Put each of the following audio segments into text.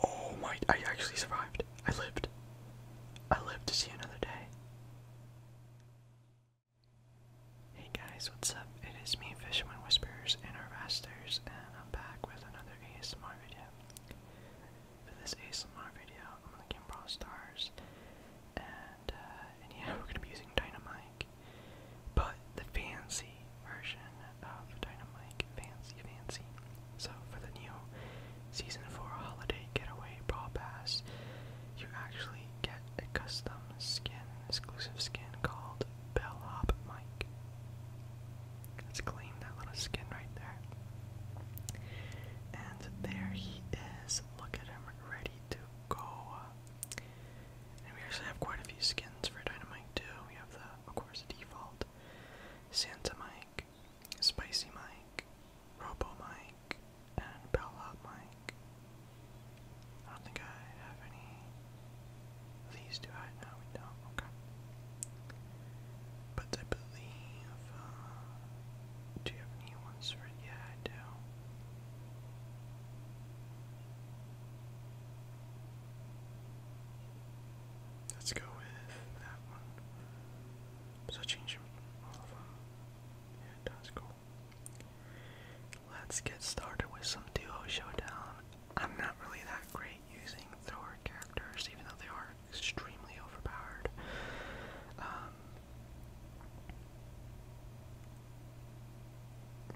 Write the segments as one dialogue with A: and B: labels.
A: Oh my, I actually survived. I lived. I lived to see another day. Hey guys, what's up? It is me, Fisherman Whispers and Our Harvesters, and I'm back with another ASMR video. For this ASMR video, I'm gonna get Brawl Stars, and, uh, yeah, we're gonna be using Dynamite, but the fancy version of Dynamite, fancy, fancy. So for the new Season 4 Holiday Getaway Brawl Pass, you actually get a custom skin, exclusive skin called Bellhop Mike. Let's claim that little skin right there. And there he is. Look at him, ready to go. And we actually have quite a few skins for Dynamite too. We have the, of course, default Santa Mike, Spicy Mike, Robo Mike, and Bellhop Mike. I don't think I have any these, do I? No, we don't. Okay. But I believe, uh, do you have any ones for, yeah, I do. Let's go with that one. Does change all Yeah, it cool. Let's get started with some duo showdown. I'm not really that great using Thor characters, even though they are extremely overpowered. Um,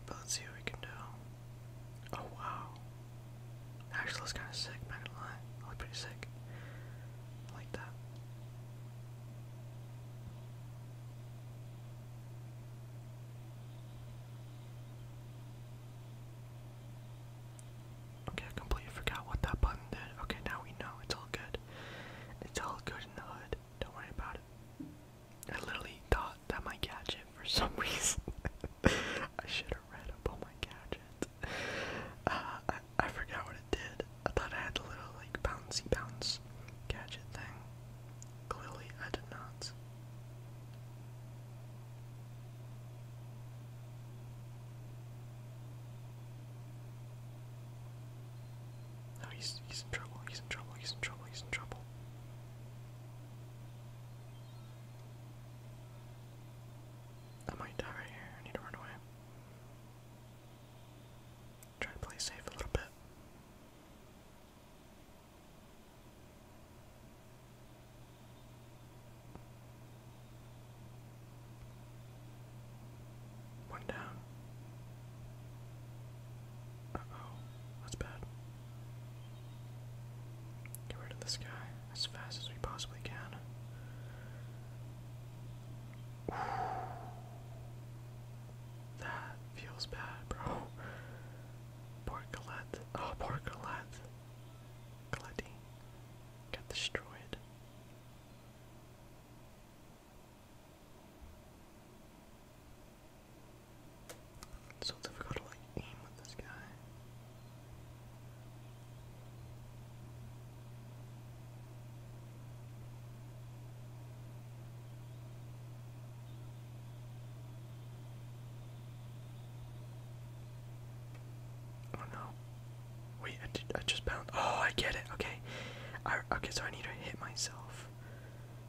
A: but let's see what we can do. Oh wow. Actually looks kinda sick, not gonna lie. looks pretty sick. I like that. Okay, I completely forgot what that button did. Okay, now we know. It's all good. It's all good in the hood. Don't worry about it. I literally thought that my gadget for some reason. I should have read up on my gadget. Uh, I, I forgot what it did. I thought I had a little like bouncy bounce gadget thing. Clearly, I did not. No, he's he's in trouble. He's in trouble. He's in trouble. He's in trouble. I might die right here. I need to run away. Try to play safe a little bit. One down. Uh oh, that's bad. Get rid of this guy as fast as we possibly can. That feels bad, bro. Poor Colette. Oh, poor Colette. Colette got destroyed. so difficult to aim with this guy. Oh no. Wait, I, did, I just bounced. Oh, I get it. Okay. okay, so I need to hit myself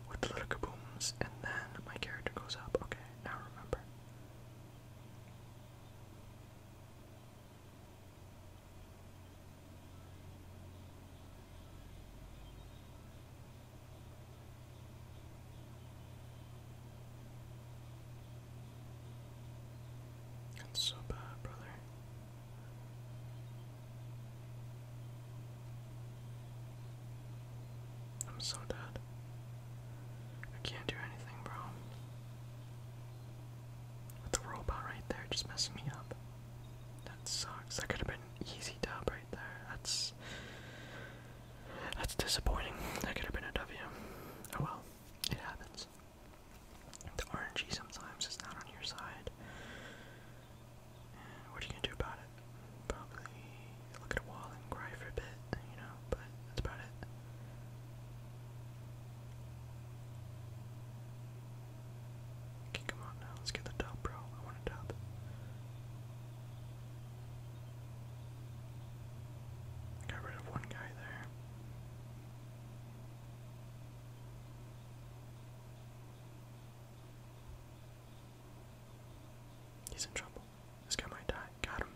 A: with the little kabooms, and then my character goes up. Okay, now remember. That's so bad, brother. I'm so dead. I can't do anything, bro. With the robot right there just messing me up. That sucks. That could have been an easy dub that's that's disappointing. That could have been a W. Oh well, it happens. The RNG sometimes is not on your side. what are you gonna do about it? Probably look at a wall and cry for a bit, you know, but that's about it come on now. Let's get the top, bro. I want a top. Got rid of one guy there. He's in trouble. This guy might die. Got him.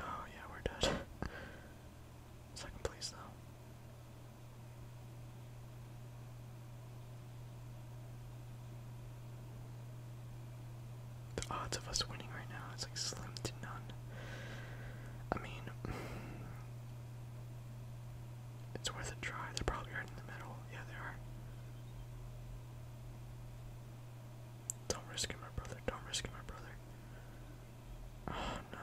A: Oh, yeah, we're dead. Second place, though. The odds of us winning right now is like slim to none. I mean, it's worth a try. They're probably right in the middle. Yeah, they are. Don't risk my brother. Don't risk my brother. Oh no.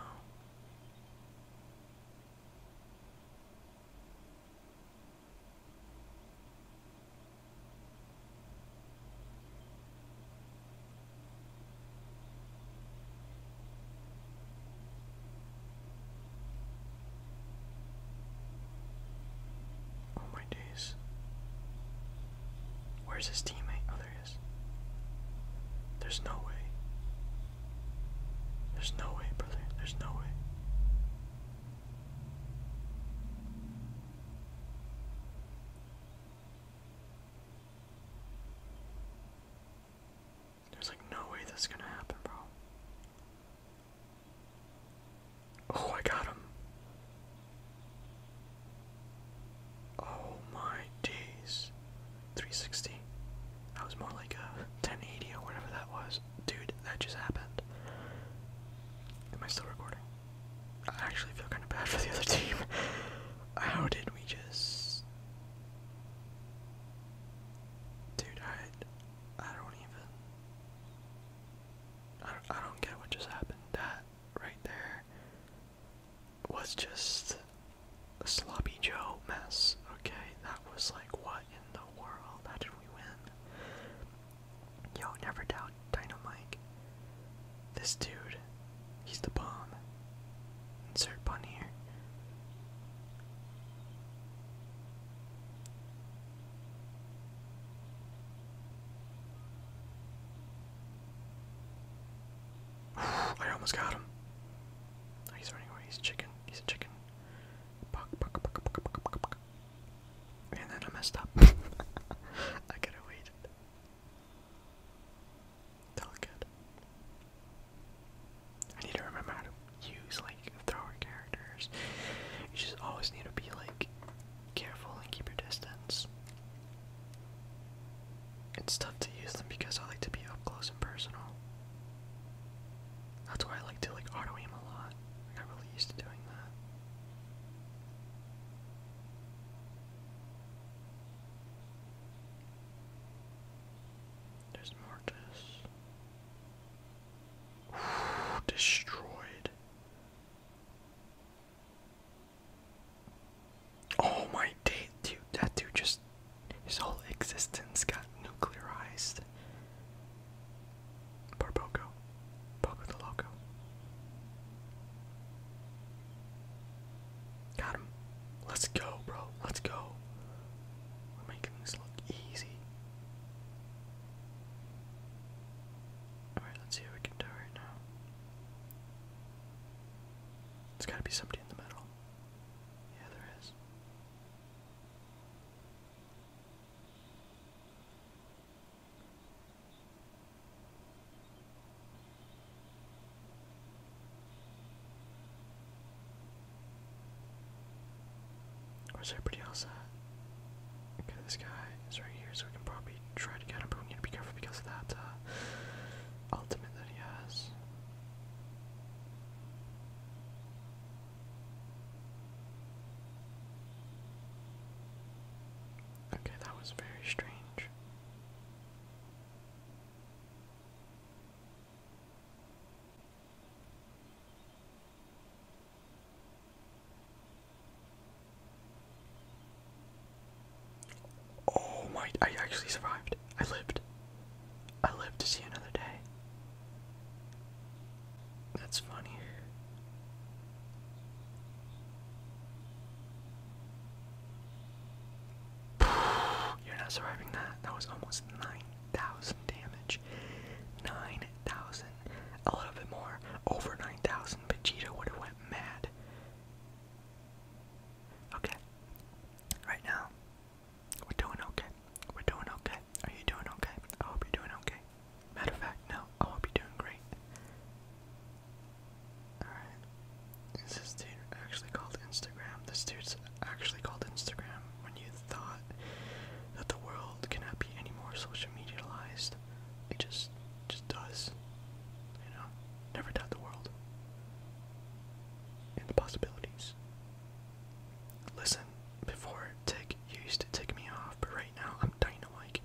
A: Oh my days. Where's his teammate? Oh, There's no way. There's no way, brother. There's no way. There's like no way that's gonna happen, bro. Oh, I got him. Oh my days. 360. That was more like a uh, 1080 or whatever that was. Dude, that just happened. Am I still recording? I actually feel kind of bad for the other team. How did we just. Dude, I. I don't even. I I don't get what just happened. That right there was just a sloppy Joe mess. Okay, that was like, what in the world? How did we win? Yo, never doubt Dynamite. This dude, he's the bomb. Insert pun here. I almost got him. Oh, he's running away. He's chicken. He's a chicken. And then I messed up. I could have waited. It's good. I need to remember how to use like thrower characters. You just always need to be like careful and keep your distance it's tough to use them because I like to be up close and personal. That's why I like to like auto aim a lot. I got really used to doing that. There's Mortis. Destroyed. Oh my dude! That dude just his whole existence got nuclearized. Poor Poco, the Loco. Got him. Let's go, bro. Let's go. We're making this look easy. Alright, let's see what we can do right now. There's gotta be somebody in the middle. Yeah, there is. Where's everybody else at? Okay, this guy is right here, so we can probably try to get him, but we need to be careful because of that, uh, ultimate that he has. Okay, that was very strange. Oh my, I actually survived. I lived. I lived to see another day. That's funny. You're not surviving that. That was almost 9,000 damage. 9,000. A little bit more. Over 9,000. Vegeta would have went mad. Okay. Right now, we're doing okay. We're doing okay. Are you doing okay? I hope you're doing okay. Matter of fact, no, I hope you're doing great. Alright. Is this dude actually called Instagram? This dude's actually called Instagram when you thought that the world cannot be any more social medialized. It just just does. You know? Never doubt the world. And the possibilities. Listen, before Tick used to tick me off, but right now I'm dynamite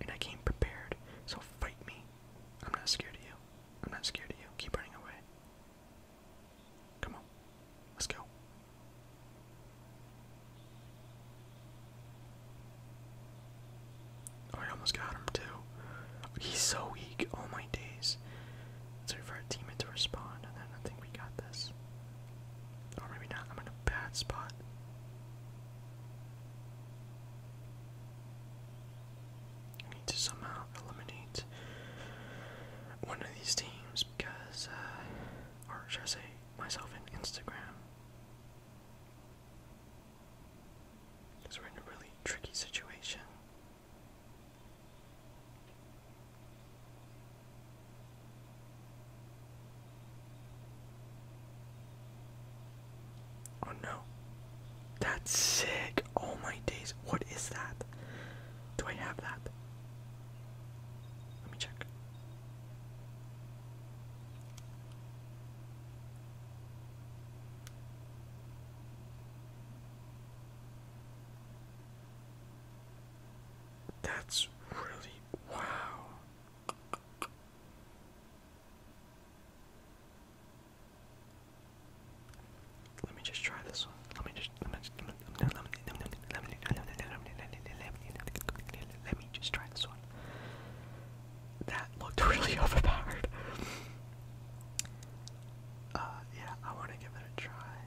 A: and I came prepared, so fight me. I'm not scared of you. I'm not scared of you. Keep running away. Come on. Let's go. Oh, I almost got him too. He's so weak. All oh, my days. Let's wait for our teammate to respond, and then I think we got this. Or maybe not. I'm in a bad spot. I need to somehow eliminate one of these teams because, uh, or should I say, myself and Instagram. Because we're in a really tricky situation. Oh no. That's sick. Oh my days. What is that? Do I have that? Let me check. That's really wow. Let me just try this one. Let me just let me let me let me just try this one. That looked really overpowered uh, yeah, I want to give it a try.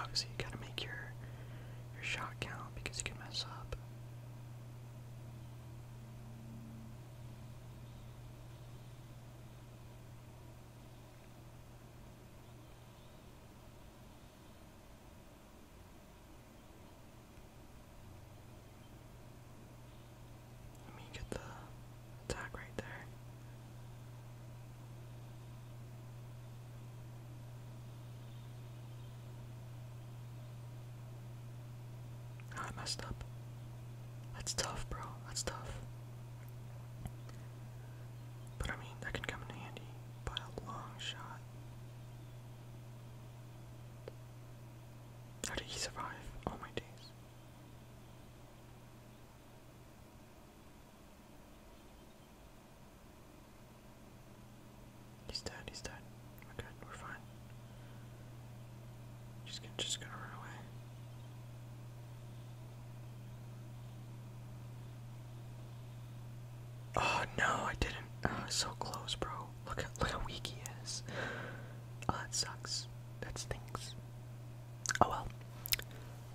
A: Obviously, you gotta make your your shot count because you can mess up. Let me get the attack right there. Ah, I messed up. That's tough, bro. That's tough. But I mean, that can come in handy by a long shot. How did he survive? Oh my days. He's dead, he's dead. We're good, we're fine. She's gonna, just gonna run away. Oh no, I didn't. Oh, so close, bro. Look at look how weak he is. Oh, that sucks that stinks. Oh well.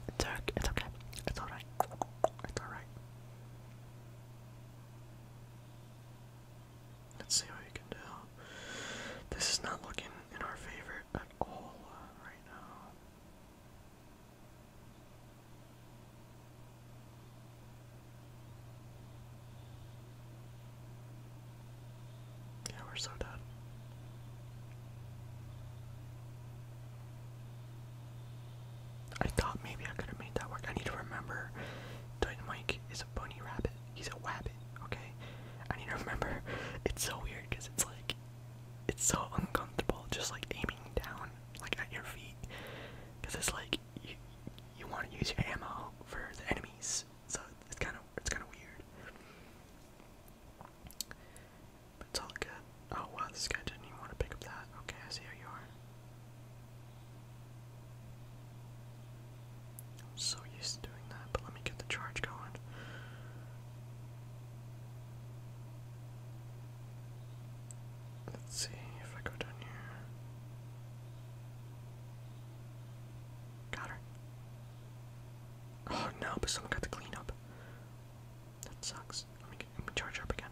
A: It's okay. It's okay. It's alright. It's alright. Let's see what we can do. This is not looking in our favor at all now. Yeah, we're so done. I thought maybe I could have made that work. I need to remember Dynamite is a bunny rabbit. He's a wabbit, okay? I need to remember. It's so weird because it's like, it's so uncomfortable just like aiming down, like at your feet. Because it's like, you, you want to use your ammo for the enemies. So it's kind of it's kind of weird. it's all good. Oh wow, this guy didn't even want to pick up that. Okay, I see how you are. I'm so used to doing that, but let me get the charge going. Let's see if I go down here. Got her. Oh no, but someone got to clean up. That sucks. Let me, get, me charge up again.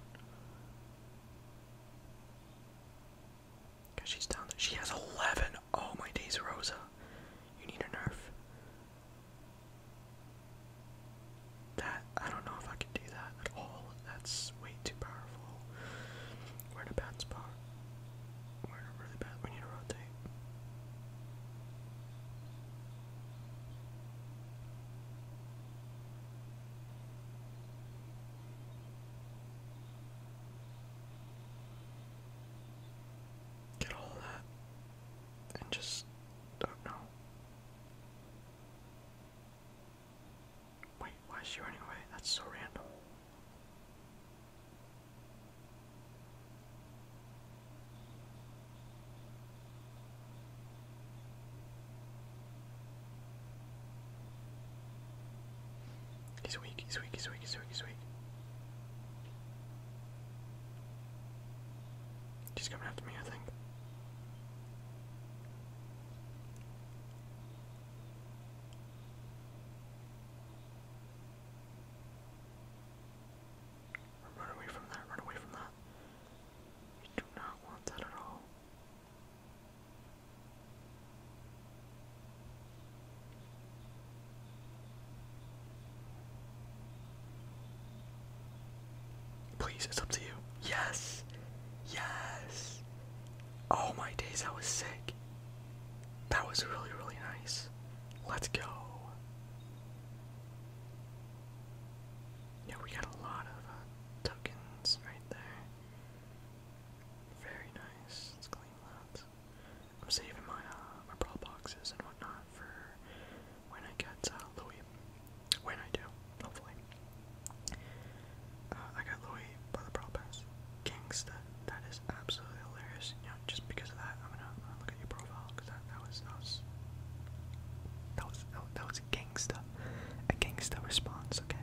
A: Cause she's down there. She has 11. Oh my days, Rosa. You need a nerf. That I don't know if I can do that at all. That's way too powerful. We're in a bad spot. We're really bad. We need to rotate. Get all that and just don't oh, know. Wait, why is she running away? That's so random. He's weak, he's weak, he's weak, he's weak, he's weak. She's coming after me, I think. Run away from that, run away from that. We do not want that at all. Please, it's up to you. Yes! Yes! Oh my days, I was sick. That was really, really nice. Let's go. Yeah, we got a lot of uh, tokens right there. Very nice. Let's clean that. I'm saving my uh, boxes and whatnot for when I get uh, Louis. When I do, hopefully. Uh, I got Louis by the brawl pass gangsta. That is absolutely hilarious. just because of that, I'm gonna, look at your profile because that, that was that was that was a gangsta, a gangsta response. Okay.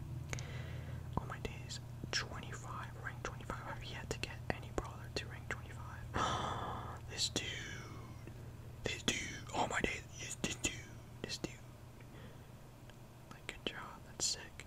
A: On my days, 25, rank 25. I've yet to get any brawler to rank 25. this dude, this dude. On my days, this dude, this dude. Like, good job. That's sick.